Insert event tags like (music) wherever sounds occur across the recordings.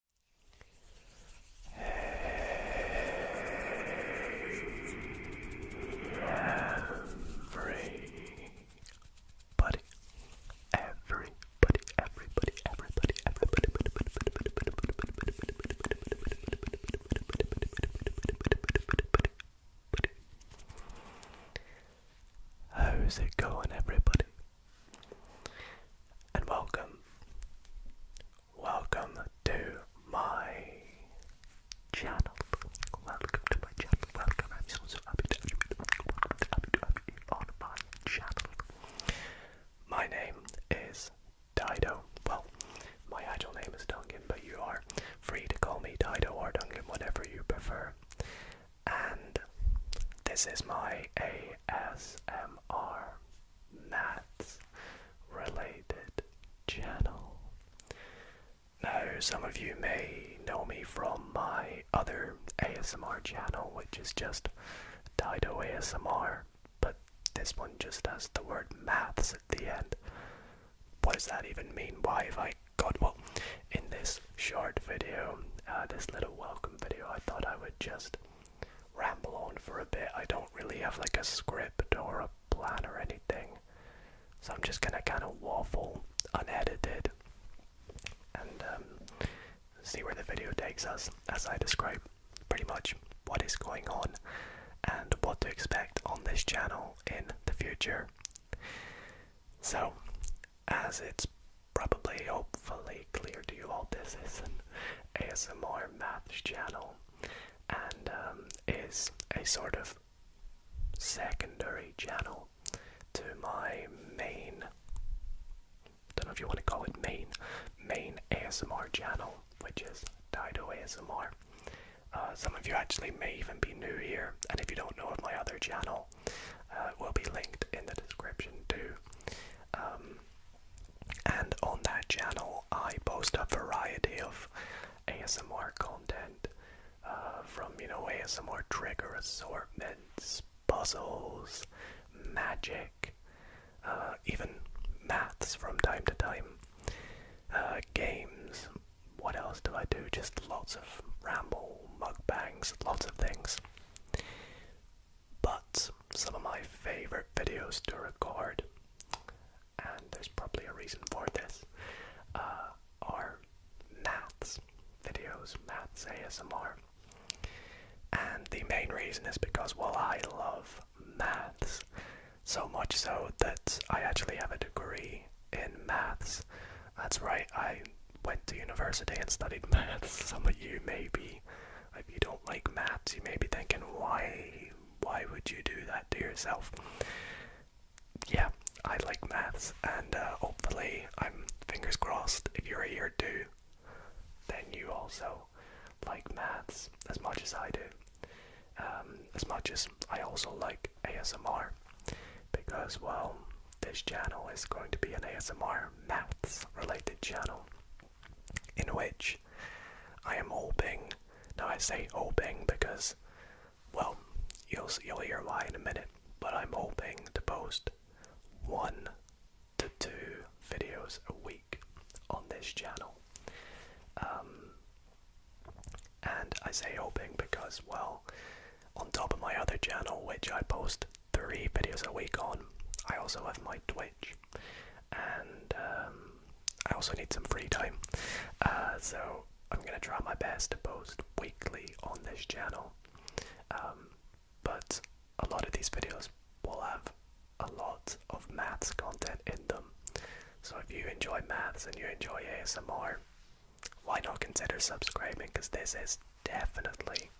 Everybody, everybody, everybody, everybody, everybody, How's it going, everybody? and welcome. Welcome to my channel. Welcome to my channel. Welcome. I'm so, so happy to have you. on my channel. My name is Dido. Well, my actual name is Duncan, but you are free to call me Dido or Duncan, whatever you prefer. And this is my ASMR maths related channel. Now, some of you may know me from my other ASMR channel, which is just Dido ASMR, but this one just has the word maths at the end. What does that even mean? Why have I got well? In this short video, uh, this little welcome video, I thought I would just ramble on for a bit. I don't really have like a script or a plan or anything. So I'm just gonna kind of waffle unedited and um, see where the video takes us as I describe pretty much what is going on and what to expect on this channel in the future. So, as it's probably hopefully clear to you all this is an ASMR math channel and um, is a sort of secondary channel to my main don't know if you want to call it main main ASMR channel which is tied Dido ASMR. Uh, some of you actually may even be new here and if you don't know of my other channel uh, will be linked in the description too. Um, and on that channel, I post a variety of ASMR content uh, from, you know, ASMR trigger assortments, puzzles, magic, uh, even maths from time to time, uh, games. What else do I do? Just lots of ramble, mukbangs, lots of things but some of my favorite videos to record, and there's probably a reason for this, uh, are maths videos, maths ASMR. And the main reason is because, well, I love maths so much so that I actually have a degree in maths. That's right, I went to university and studied (laughs) maths. Some of you maybe. If you don't like maths, you may be thinking, why, why would you do that to yourself? Yeah, I like maths, and uh, hopefully, I'm fingers crossed. If you're here too, then you also like maths as much as I do, um, as much as I also like ASMR, because well, this channel is going to be an ASMR maths related channel in which I am hoping. Now I say hoping because, well, you'll you'll hear why in a minute. But I'm hoping to post one to two videos a week on this channel. Um, and I say hoping because, well, on top of my other channel, which I post three videos a week on, I also have my Twitch and um, I also need some free time. Uh, so I'm gonna try my best to post weekly on this channel. Um, but a lot of these videos will have a lot of maths content in them. So if you enjoy maths and you enjoy ASMR, why not consider subscribing? Because this is definitely,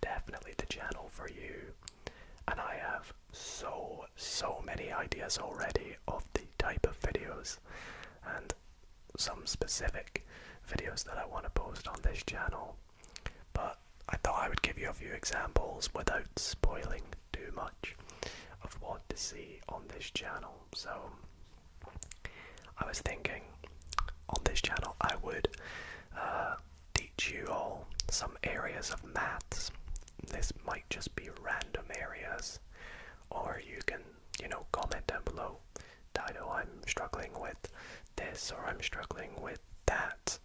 definitely the channel for you and I have so so many ideas already of the type of videos and some specific videos that I want to post on this channel. But I thought I would give you a few examples without spoiling too much of what to see on this channel. So I was thinking on this channel I would uh, teach you all some areas of maths. This might just be random areas, or you can, you know, comment down below. Dido, I'm struggling with this, or I'm struggling with that,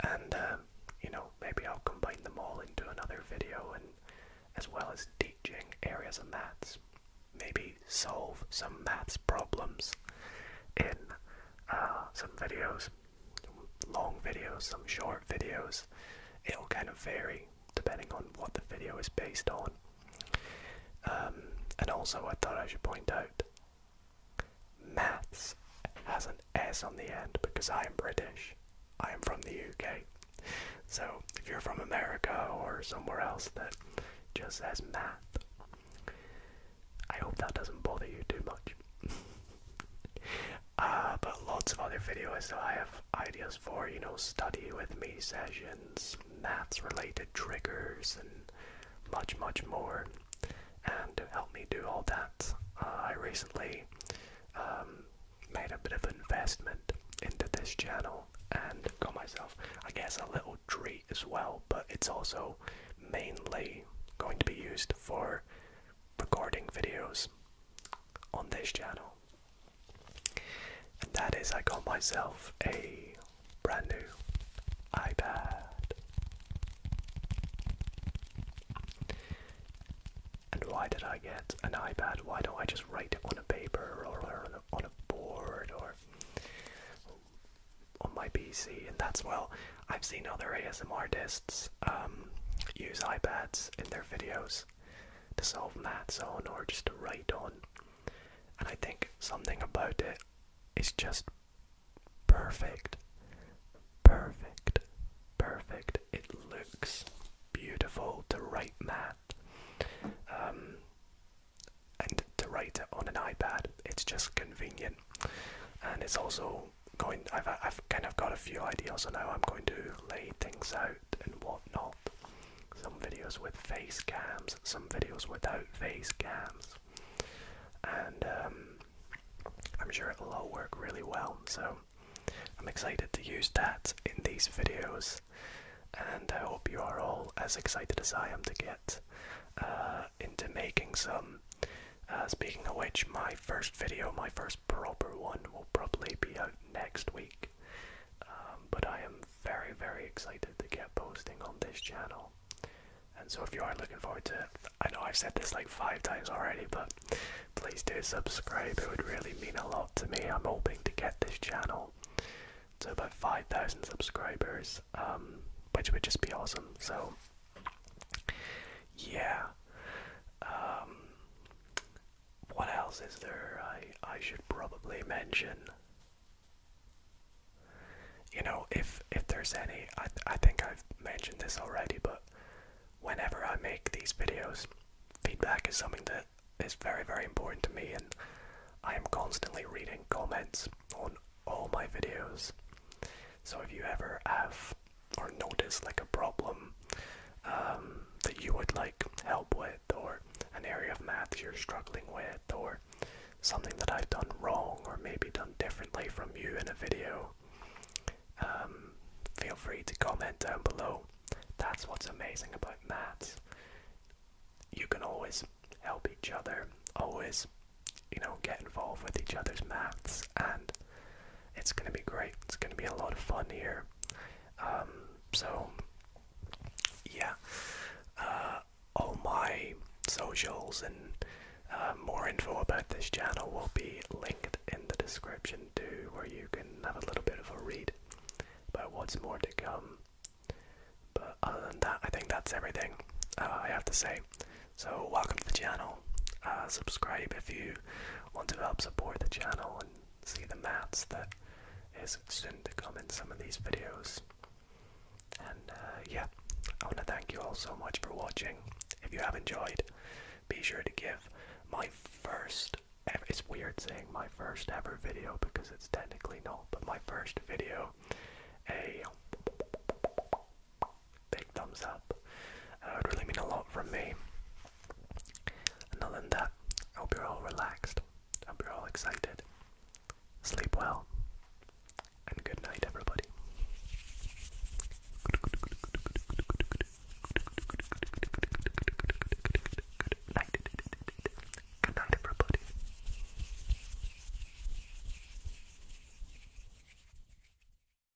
and uh, you know, maybe I'll combine them all into another video, and as well as teaching areas of maths, maybe solve some maths problems in uh, some videos long videos, some short videos. It'll kind of vary depending on what the video is based on. Um, and also, I thought I should point out maths has an S on the end because I am British. I am from the UK. So if you're from America or somewhere else that just says math, I hope that doesn't bother you too much. (laughs) Uh, but lots of other videos that I have ideas for, you know, study with me sessions, maths related triggers, and much, much more. And to help me do all that, uh, I recently um, made a bit of investment into this channel and got myself, I guess, a little tree as well, but it's also mainly going to be used for recording videos on this channel. And that is, I got myself a brand new iPad. And why did I get an iPad? Why don't I just write on a paper or on a board or on my PC? And that's well, I've seen other ASM artists um, use iPads in their videos to solve maths on or just to write on. And I think something about it is just perfect. Perfect. Perfect. It looks beautiful to write math. Um, and to write it on an iPad, it's just convenient. And it's also going. I've I've kind of got a few ideas on how I'm going to lay things out and whatnot. Some videos with face cams, some videos without face cams, and um, I'm sure it'll all work really well. So I'm excited to use that in these videos, and I hope you are all as excited as I am to get uh, into making some uh, speaking of which, my first video, my first proper one, will probably be out next week. Um, but I am very, very excited to get posting on this channel. And so if you are looking forward to it, I know I've said this like five times already, but please do subscribe. It would really mean a lot to me. I'm hoping to get this channel to about 5,000 subscribers, um, which would just be awesome. So yeah. Um, what else is there I, I should probably mention? You know, if if there's any, I, I think I've mentioned this already, but whenever I make these videos, feedback is something that is very, very important to me, and I am constantly reading comments on all my videos. So if you ever have or notice like a problem um, that you would like help with, or an area of maths you're struggling with, or something that I've done wrong or maybe done differently from you in a video, um, feel free to comment down below. That's what's amazing about maths. You can always help each other, always, you know, get involved with each other's maths and it's going to be great. It's going to be a lot of fun here. Um, so, yeah. Uh, all my socials and uh, more info about this channel will be linked in the description too, where you can have a little bit of a read about what's more to come. But other than that, I think that's everything uh, I have to say. So welcome to the channel. Uh, subscribe if you want to help support the channel and see the maps that is soon to come in some of these videos. And uh, yeah, I want to thank you all so much for watching. If you have enjoyed, be sure to give my first it's weird saying my first ever video because it's technically not, but my first video a big thumbs up. Uh, it would really mean a lot from me. And other than that, I hope you're all relaxed. I hope you're all excited. Sleep well. And good night, everybody. Good night, everybody.